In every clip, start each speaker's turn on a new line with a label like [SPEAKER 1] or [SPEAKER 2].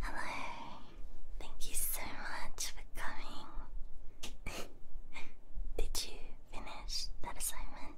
[SPEAKER 1] Hello. Thank you so much for coming. Did you finish that assignment?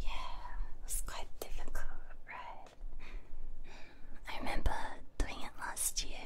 [SPEAKER 1] Yeah, it was quite difficult, right? I remember doing it last year.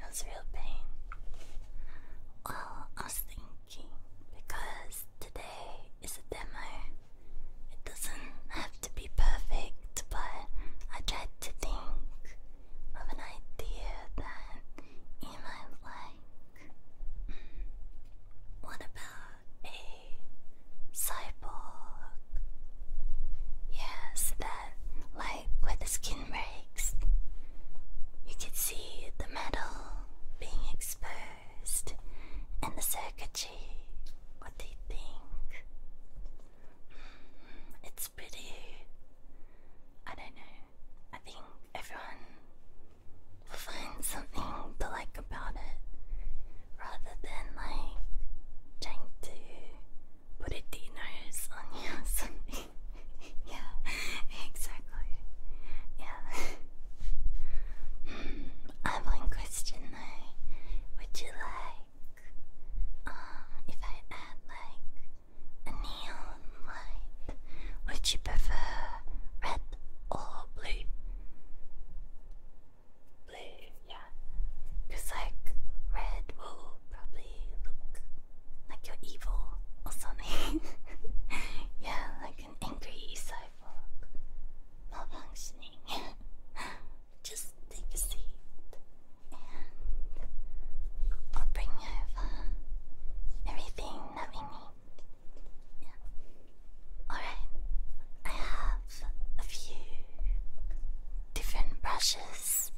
[SPEAKER 1] It was real pain. Well, I was thinking because today is a demo it doesn't have to be perfect, but I tried to think of an idea that you might like. What about a cyborg? Yes, that, like where the skin breaks, you could see the metal being exposed and the circuitry. What do you think? It's pretty. I don't know. I think everyone will find something to like about it rather than like trying to put a D nose on you yeah, exactly. Yeah. I have one question Would you like uh, if I add like a neon light, would you prefer red or blue? Blue, yeah. Cause like red will probably look like you're evil or something. yeah, like an angry cyborg malfunctioning. just take a seat and I'll bring over everything that we need. Yeah. Alright, I have a few different brushes.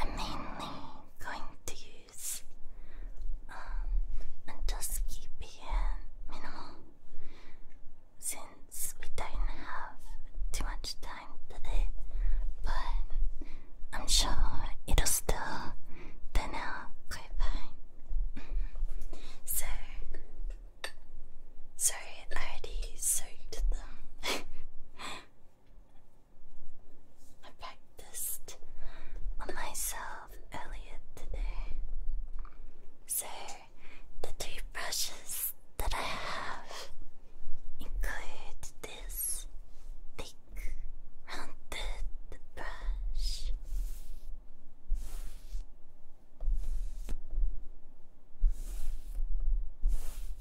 [SPEAKER 1] I'm mainly going to use um, and just minimal since we don't have too much time today, but I'm sure it'll still turn out quite fine. so, sorry, I already soaked them. I practiced on myself earlier today. So, the three brushes that I have include this thick, rounded brush.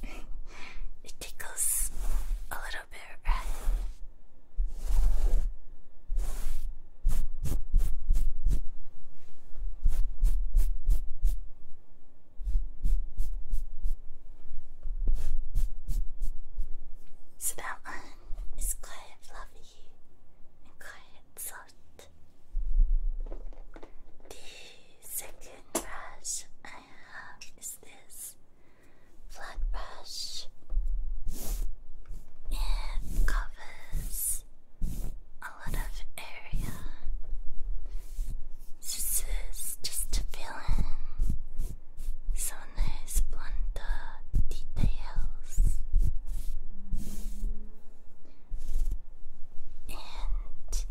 [SPEAKER 1] it tickles a little bit, so that one is quite fluffy and quite soft. The second brush I have is this flat brush. It covers a lot of area. This is just feeling so nice blunder details. And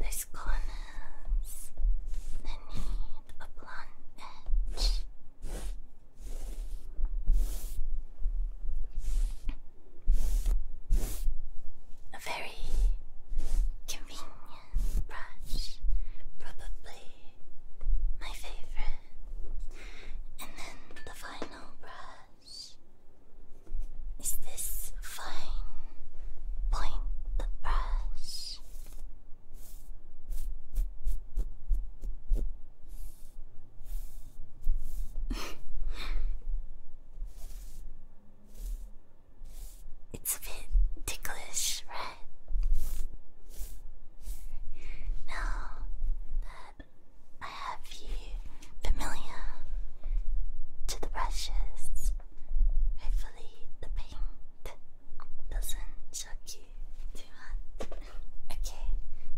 [SPEAKER 1] these corners they need a blunt edge. A very convenient brush, probably my favorite. And then the final brush is this fine point brush. It's a bit ticklish, right? Now that I have you familiar to the brushes, hopefully the paint doesn't shock you too much. Okay,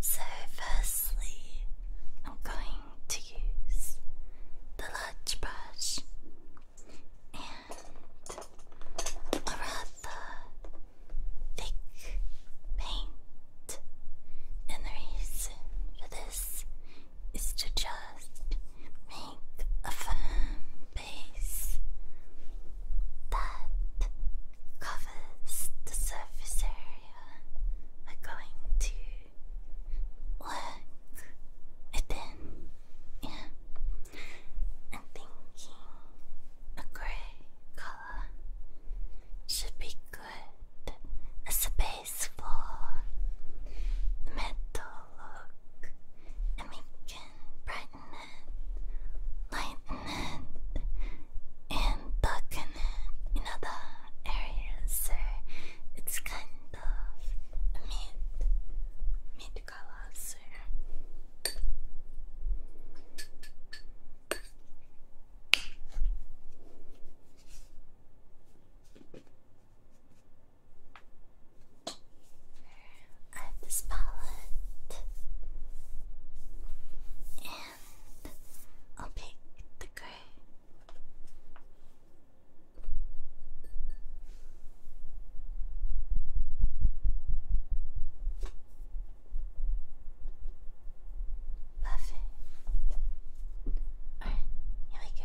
[SPEAKER 1] so firstly, I'm going to use the large brush and a rather thick paint. And the reason for this is to just make a firm base that covers the surface area we're going to work within, yeah. I'm thinking a grey color should be good a base for the metal look, and we can brighten it, lighten it, and darken it in areas, it's kind of mid, mid color. I have this palette, and I'll pick the color Parfait. Alright, here we go.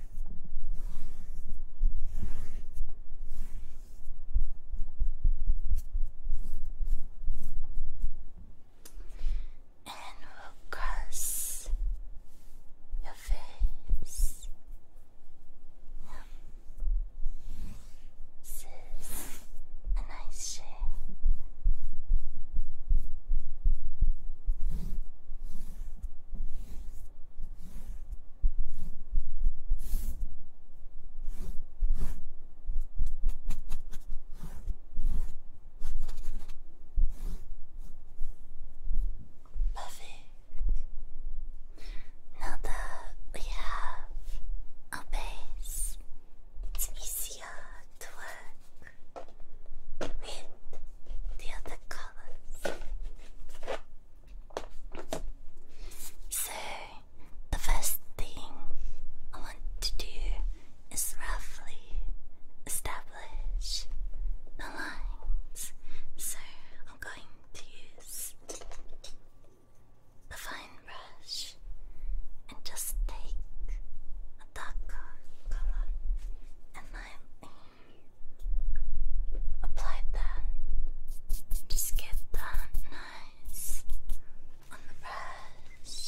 [SPEAKER 1] And we'll cross your face. Yep. a nice shape. Perfect. Now we have a base, it's easier to work with the other colors. So, the first thing I want to do is roughly establish the lines. So, I'm going to use the fine brush and just take a darker color and lightly Apply that. Just get that nice on the brush.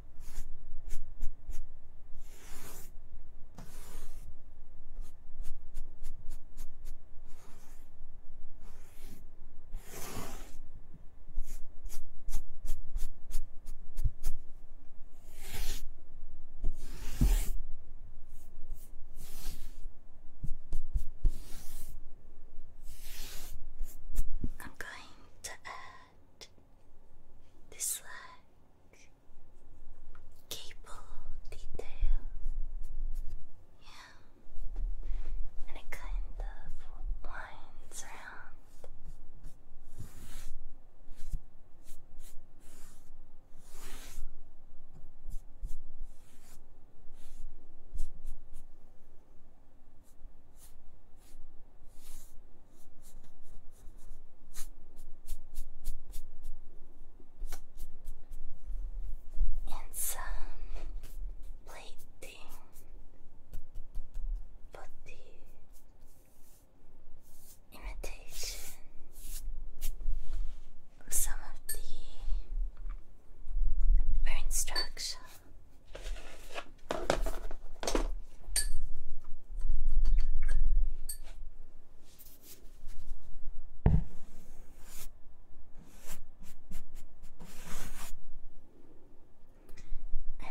[SPEAKER 1] I'm going to add this leg, cable detail, yeah, and it kind of winds around and some plating for the imitation of some of the instructions.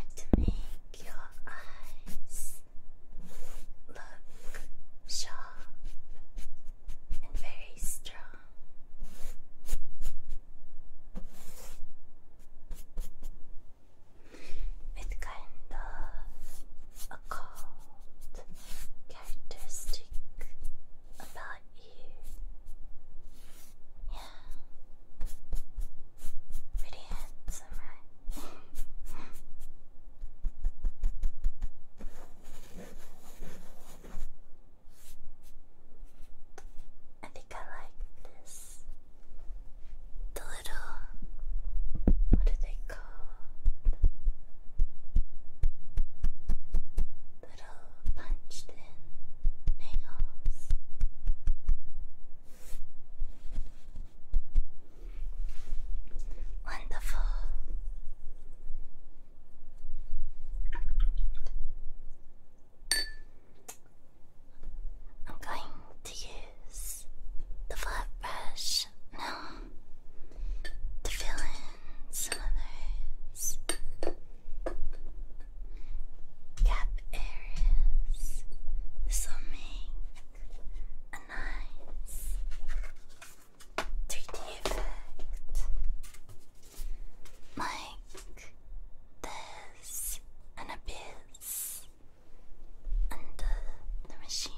[SPEAKER 1] And make your eyes look sharp and very strong with kind of a cold characteristic about you. Yeah. Pretty handsome, right? I like this the little what do they call little punched in nails. Wonderful. I'm going to use the flat brush now to fill in some others. Gap areas. This will make a nice 3D effect like this an abyss and the machinery.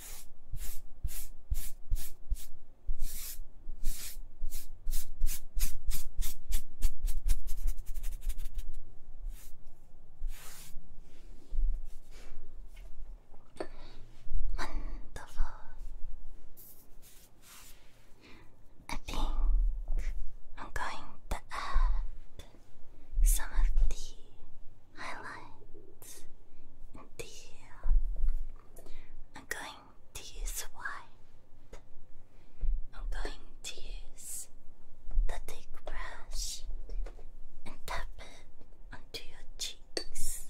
[SPEAKER 1] Wonderful. I think I'm going to add some of the highlights I'm going to use I'm going to use the thick brush and tap it onto your cheeks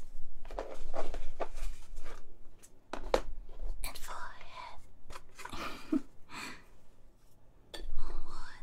[SPEAKER 1] and forehead. what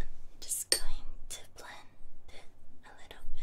[SPEAKER 1] I'm just going to blend a little bit.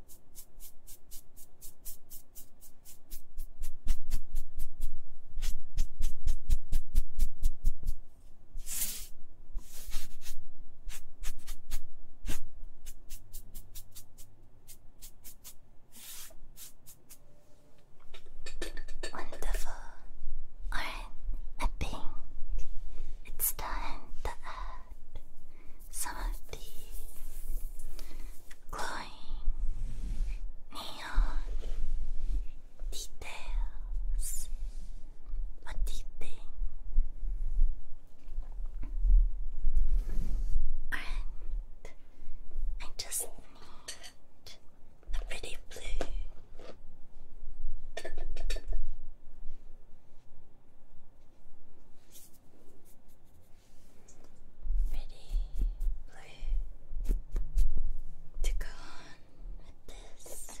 [SPEAKER 1] Wonderful. Alright, I think it's time to add some of the glow neon details. What do And I just need a pretty blue pretty blue to go on with this.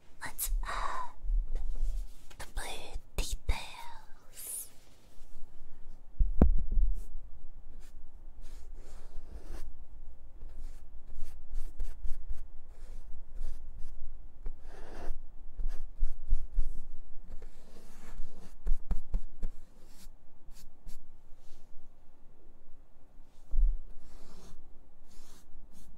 [SPEAKER 1] Let's add the blue details.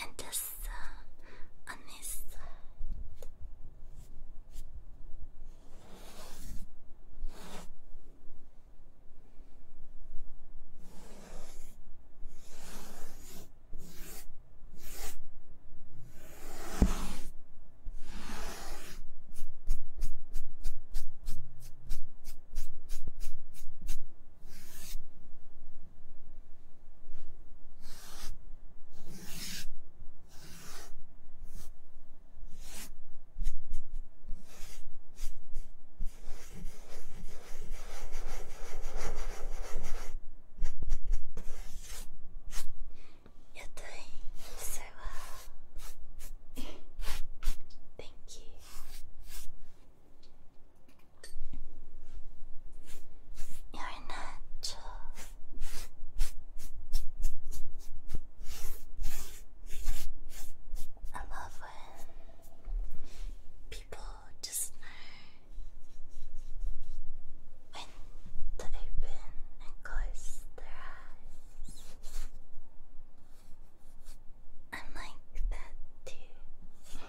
[SPEAKER 1] and this uh, on this side. Uh, You're doing so well. Thank you. You're natural. I love when people just know when to open and close their eyes. I like that too.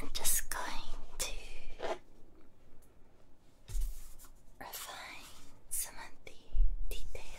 [SPEAKER 1] I'm just going to refine some of the detailing.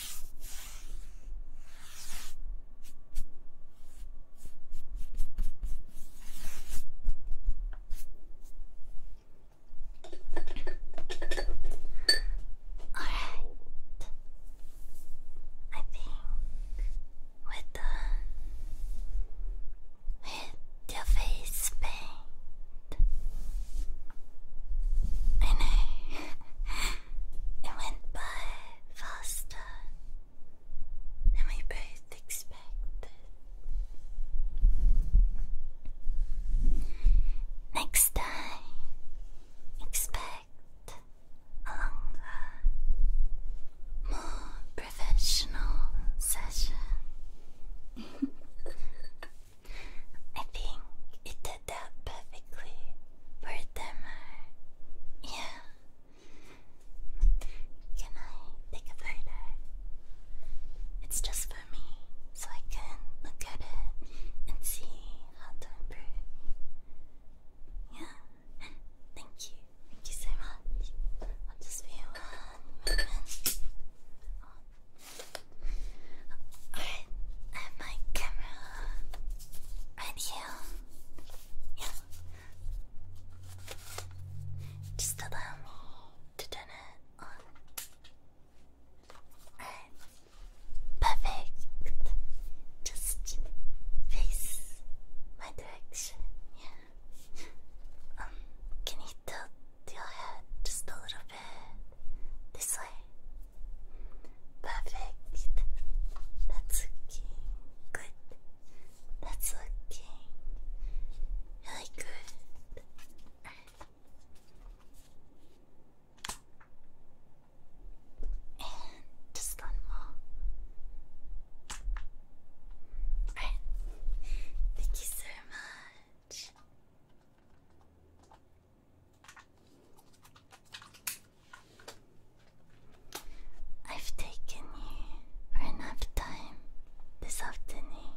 [SPEAKER 1] All right. I think we're done with the face paint. I It went by faster than we both expected. Next time, expect a longer, more professional session. I think it that perfectly for Demar. Uh, yeah. Can I take a photo? It's just for me, so I can look at it and see how to Yeah. Thank you. Thank you so much. I'll just be one moment. Alright, I have my camera right here. Yeah. Just allow me to turn it on. Perfect. Just face my direction. Yeah. Um, can you tilt your head just a little bit this way? Perfect. That's looking good. That's looking really good. And just one more. Right. Thank you so much. I've taken you for enough time this afternoon,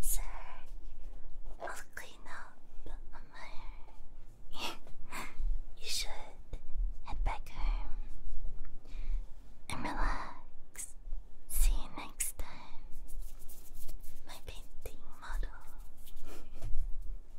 [SPEAKER 1] sir. I'll clean up on my you should head back home and relax. See you next time, my painting model.